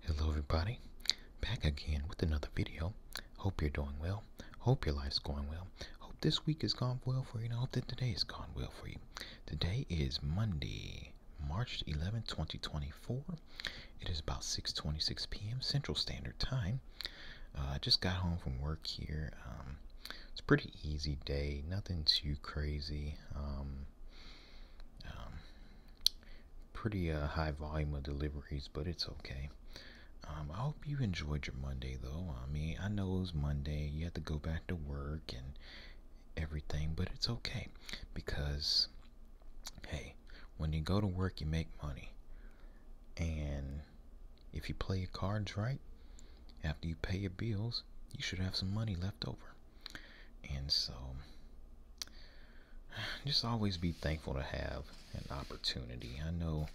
Hello everybody, back again with another video. Hope you're doing well. Hope your life's going well. Hope this week has gone well for you and hope that today has gone well for you. Today is Monday, March 11, 2024. It is about 6.26 p.m. Central Standard Time. Uh, I just got home from work here. Um, it's a pretty easy day, nothing too crazy. Um, um, pretty uh, high volume of deliveries, but it's okay. Um, I hope you enjoyed your Monday, though. I mean, I know it was Monday. You had to go back to work and everything, but it's okay because, hey, when you go to work, you make money. And if you play your cards right, after you pay your bills, you should have some money left over. And so, just always be thankful to have an opportunity. I know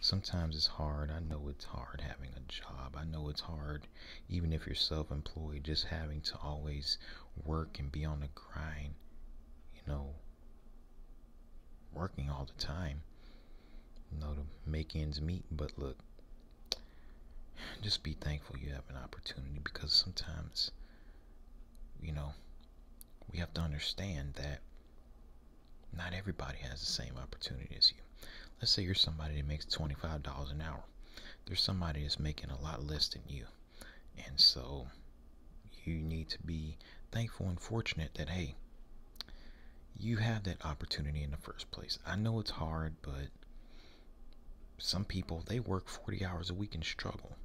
sometimes it's hard. I know it's hard having a job. I know it's hard, even if you're self employed, just having to always work and be on the grind, you know, working all the time, you know, to make ends meet. But look, just be thankful you have an opportunity because sometimes, you know, we have to understand that not everybody has the same opportunity as you. Let's say you're somebody that makes $25 an hour. There's somebody that's making a lot less than you. And so you need to be thankful and fortunate that, hey, you have that opportunity in the first place. I know it's hard, but some people they work 40 hours a week and struggle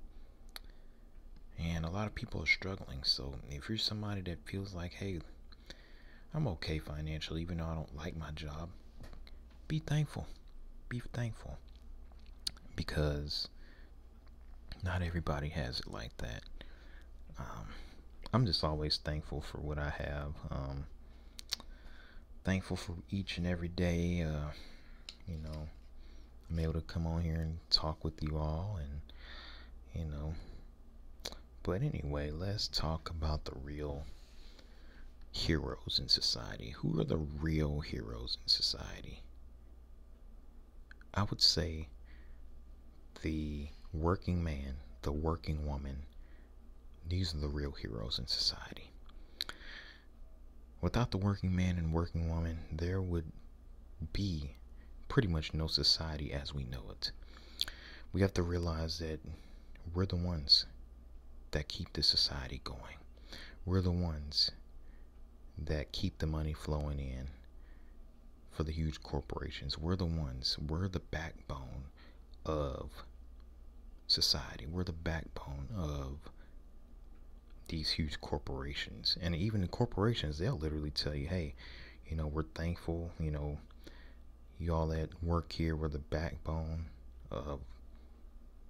and a lot of people are struggling so if you're somebody that feels like hey i'm okay financially even though i don't like my job be thankful be thankful because not everybody has it like that um, i'm just always thankful for what i have um, thankful for each and every day. Uh, you know, I'm able to come on here and talk with you all, and you know. But anyway, let's talk about the real heroes in society. Who are the real heroes in society? I would say the working man, the working woman. These are the real heroes in society. Without the working man and working woman, there would be pretty much no society as we know it. We have to realize that we're the ones that keep the society going. We're the ones that keep the money flowing in for the huge corporations. We're the ones, we're the backbone of society. We're the backbone of these huge corporations. And even in corporations, they'll literally tell you, hey, you know, we're thankful, you know, y'all that work here we're the backbone of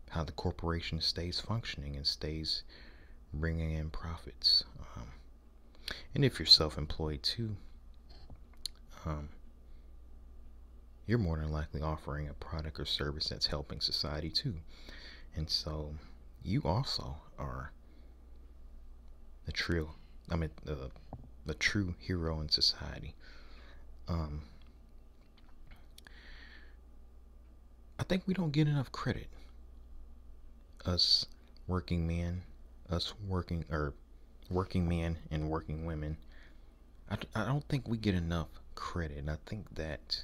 how the corporation stays functioning and stays bringing in profits. Um, and if you're self employed too, um, you're more than likely offering a product or service that's helping society too. And so you also are a true, I mean, the, the true hero in society. Um, I think we don't get enough credit. Us working men, us working, or working men and working women I, I don't think we get enough credit, and I think that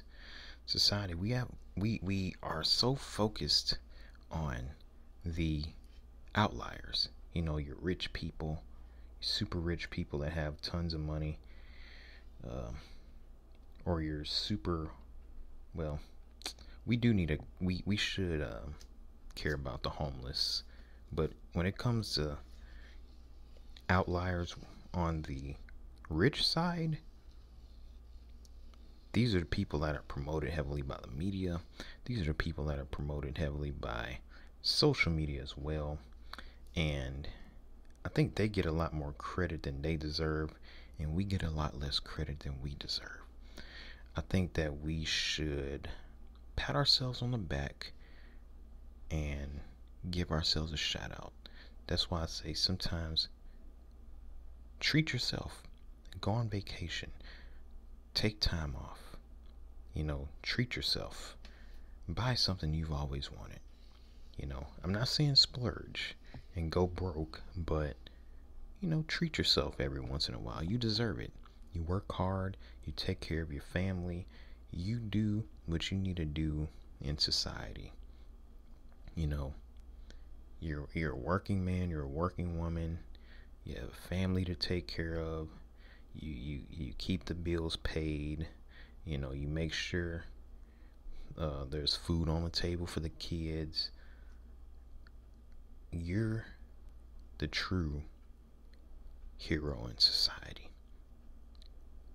society we have we we are so focused on the outliers. You know, your rich people, super rich people that have tons of money, uh, or your super well. We do need a we we should uh, care about the homeless, but when it comes to outliers on the rich side, these are the people that are promoted heavily by the media. These are the people that are promoted heavily by social media as well. And I think they get a lot more credit than they deserve, and we get a lot less credit than we deserve. I think that we should pat ourselves on the back and give ourselves a shout out. That's why I say sometimes treat yourself, go on vacation, take time off, you know, treat yourself, buy something you've always wanted. You know, I'm not saying splurge and go broke, but you know, treat yourself every once in a while. You deserve it. You work hard, you take care of your family, you do what you need to do in society. You know, you're you're a working man, you're a working woman, you have a family to take care of, you you, you keep the bills paid, you know, you make sure uh, there's food on the table for the kids. You're the true hero in society.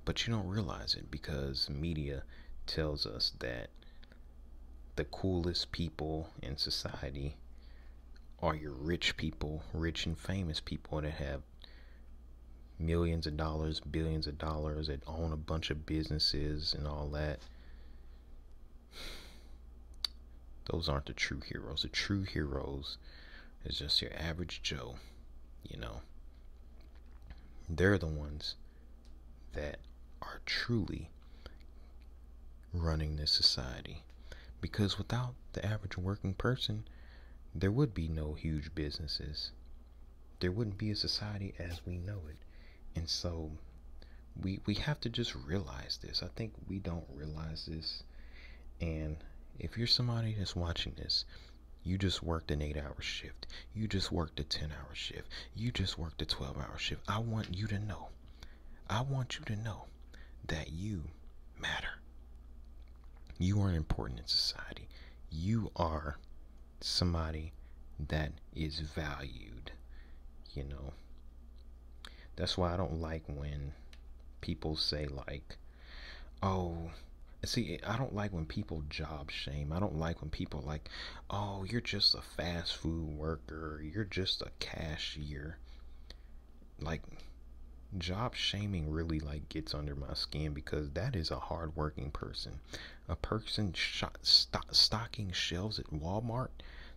But you don't realize it because media tells us that the coolest people in society are your rich people, rich and famous people that have millions of dollars, billions of dollars, that own a bunch of businesses and all that. Those aren't the true heroes. The true heroes is just your average Joe, you know, they're the ones that are truly running this society. Because without the average working person, there would be no huge businesses. There wouldn't be a society as we know it. And so we we have to just realize this. I think we don't realize this. And if you're somebody that's watching this you just worked an eight hour shift. You just worked a 10 hour shift. You just worked a 12 hour shift. I want you to know. I want you to know that you matter. You are important in society. You are somebody that is valued, you know. That's why I don't like when people say, like, oh, see i don't like when people job shame i don't like when people like oh you're just a fast food worker you're just a cashier like job shaming really like gets under my skin because that is a hardworking person a person stocking shelves at walmart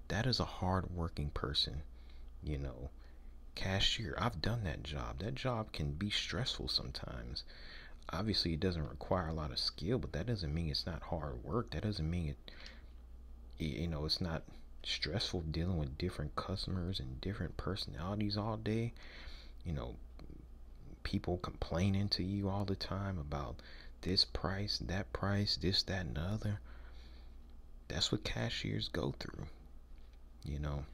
that is a hardworking person you know cashier i've done that job that job can be stressful sometimes obviously it doesn't require a lot of skill, but that doesn't mean it's not hard work. That doesn't mean it, you know, it's not stressful dealing with different customers and different personalities all day. You know, people complaining to you all the time about this price, that price, this, that, and other. That's what cashiers go through, you know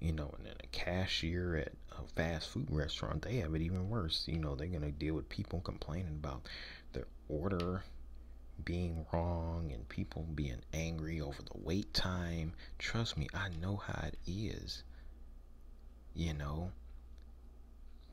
you know, and then a cashier at a fast food restaurant, they have it even worse. You know, they're going to deal with people complaining about their order being wrong and people being angry over the wait time. Trust me, I know how it is. You know,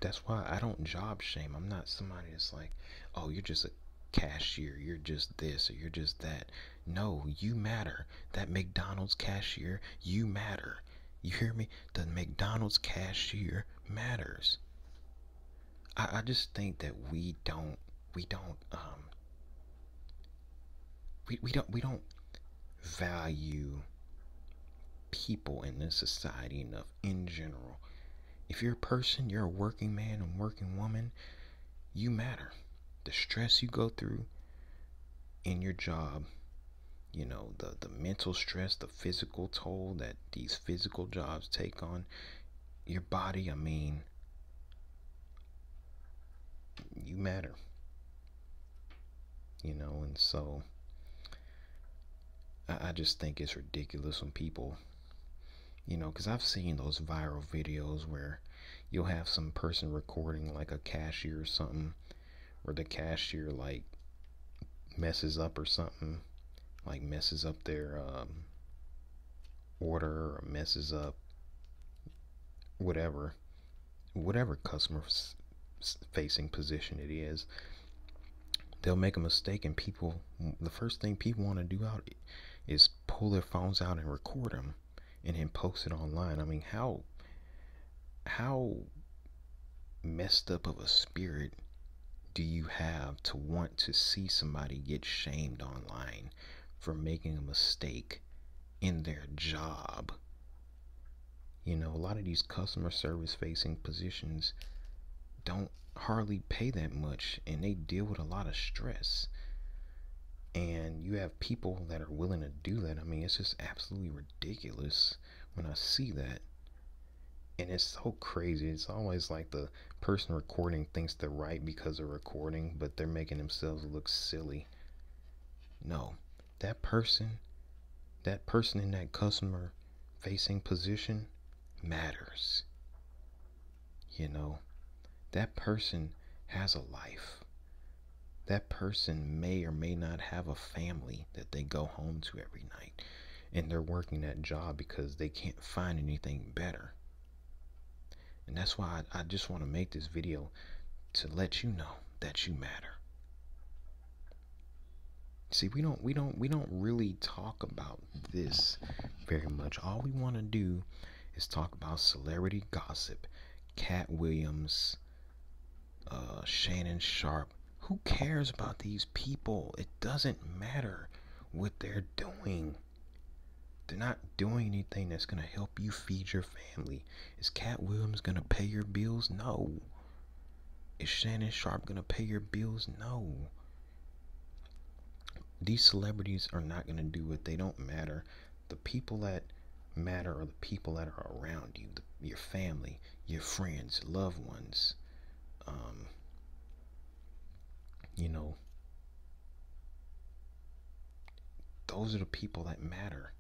that's why I don't job shame. I'm not somebody that's like, oh, you're just a cashier, you're just this, or you're just that. No, you matter. That McDonald's cashier, you matter. You hear me? The McDonald's cashier matters. I, just think that we don't we don't um we, we don't we don't value people in this society enough in general. If you're a person, you're a working man and working woman, you matter the stress you go through in your job, you know, the, the mental stress, the physical toll that these physical jobs take on your body, I mean, you matter. You know, and so I, just think it's ridiculous when people, you know, because I've seen those viral videos where you'll have some person recording like a cashier or something where the cashier like messes up or something, like messes up their um, order or messes up whatever, whatever customer facing position it is, they'll make a mistake and people, the first thing people want to do out is pull their phones out and record them and then post it online. I mean, how how messed up of a spirit do you have to want to see somebody get shamed online for making a mistake in their job? You know, a lot of these customer service facing positions don't hardly pay that much and they deal with a lot of stress and you have people that are willing to do that. I mean, it's just absolutely ridiculous when I see that. And it's so crazy. It's always like the person recording thinks they're right because they're recording, but they're making themselves look silly. No, that person, that person in that customer facing position matters. You know, that person has a life. That person may or may not have a family that they go home to every night, and they're working that job because they can't find anything better. And that's why I, just want to make this video to let you know that you matter. See, we don't we don't we don't really talk about this very much. All we want to do is talk about celebrity gossip, Cat Williams, uh, Shannon Sharp. Who cares about these people? It doesn't matter what they're doing. They're not doing anything that's going to help you feed your family. Is Cat Williams going to pay your bills? No. Is Shannon Sharp going to pay your bills? No. These celebrities are not going to do it. They don't matter the people that matter are the people that are around you, your family, your friends, loved ones. Um, you know, those are the people that matter.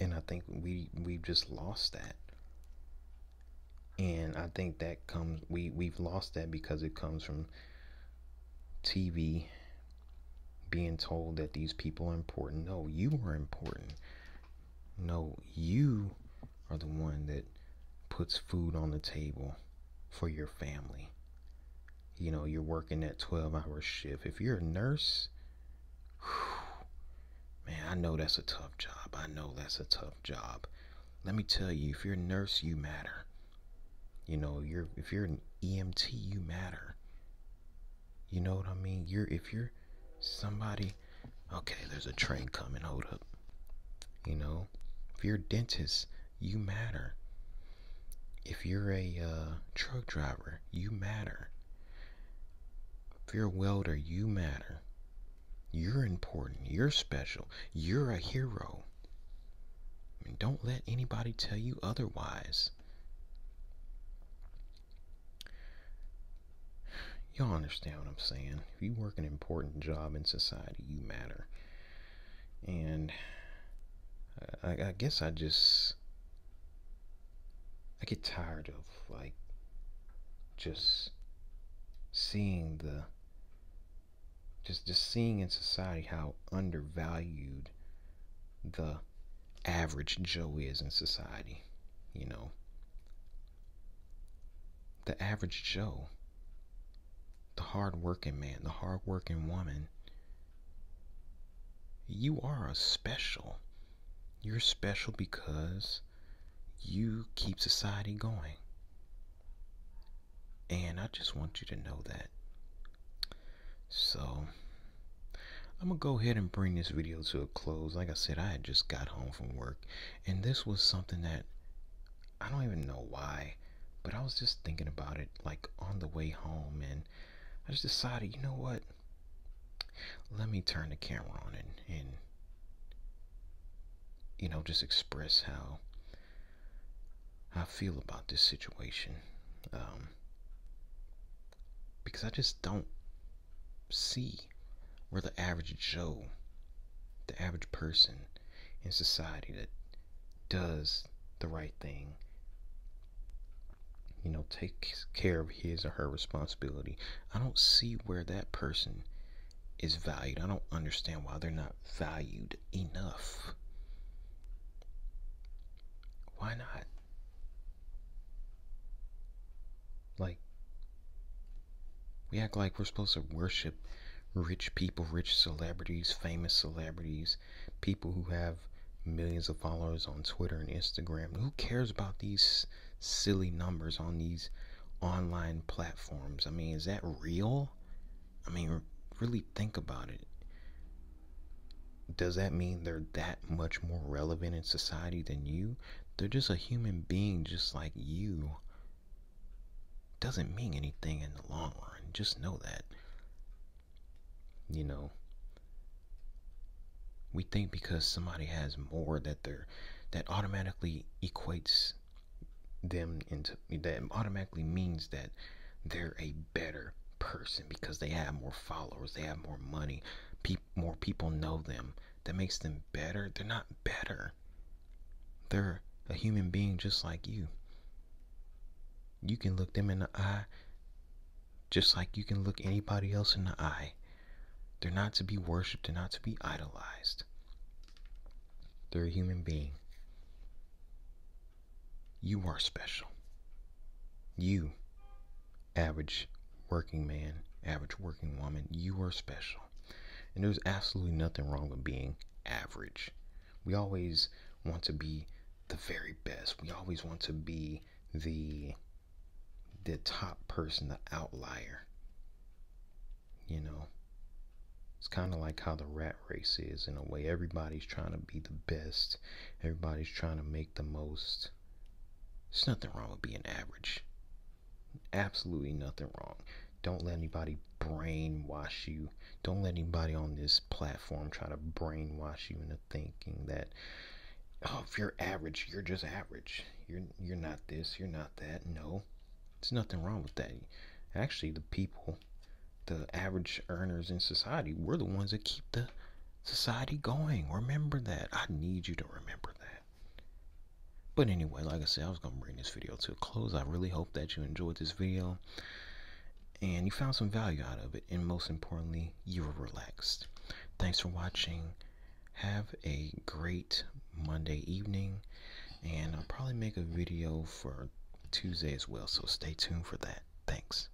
And I think we we've just lost that. And I think that comes we we've lost that because it comes from TV being told that these people are important. No, you are important. No, you are the one that puts food on the table for your family. You know, you're working that 12 hour shift. If you're a nurse, man, I know that's a tough job. I know that's a tough job. Let me tell you, if you're a nurse, you matter. You know, you're if you're an EMT, you matter. You know what I mean? You're if you're somebody okay, there's a train coming, hold up. You know, if you're a dentist, you matter. If you're a uh, truck driver, you matter. If you're a welder, you matter. You're important. You're special. You're a hero. And don't let anybody tell you otherwise. Y'all understand what I'm saying. If you work an important job in society, you matter. And I, guess I just. I get tired of, like, just seeing the just just seeing in society how undervalued the average Joe is in society, you know. The average Joe, the hardworking man, the hardworking woman, you are a special. You're special because you keep society going. And I just want you to know that so I'm gonna go ahead and bring this video to a close. Like I said, I just got home from work, and this was something that I don't even know why, but I was just thinking about it like on the way home, and I just decided, you know what? Let me turn the camera on and, and you know, just express how I feel about this situation. Um, because I just don't see where the average Joe, the average person in society that does the right thing, you know, takes care of his or her responsibility. I don't see where that person is valued. I don't understand why they're not valued enough. Why not? Like, we act like we're supposed to worship rich people, rich celebrities, famous celebrities, people who have millions of followers on Twitter and Instagram. Who cares about these silly numbers on these online platforms? I mean, is that real? I mean, really think about it does that mean they're that much more relevant in society than you? They're just a human being just like you. Doesn't mean anything in the long run. Just know that. You know, we think because somebody has more that they're that automatically equates them into that automatically means that they're a better person because they have more followers, they have more money, more people know them. That makes them better. They're not better. They're a human being just like you. You can look them in the eye just like you can look anybody else in the eye. They're not to be worshipped, they're not to be idolized. They're a human being. You are special. You, average working man, average working woman, you are special. And there's absolutely nothing wrong with being average. We always want to be the very best. We always want to be the the top person, the outlier. You know, it's kind of like how the rat race is in a way. Everybody's trying to be the best Everybody's trying to make the most. There's nothing wrong with being average. Absolutely nothing wrong. Don't let anybody brainwash you. Don't let anybody on this platform try to brainwash you into thinking that oh, if you're average, you're just average. You're you're not this, you're not that. No. There's nothing wrong with that. Actually, the people, the average earners in society, were the ones that keep the society going. Remember that. I need you to remember that. But anyway, like I said, I was going to bring this video to a close. I really hope that you enjoyed this video and you found some value out of it. And most importantly, you were relaxed. Thanks for watching. Have a great Monday evening. And I'll probably make a video for Tuesday as well. So stay tuned for that. Thanks.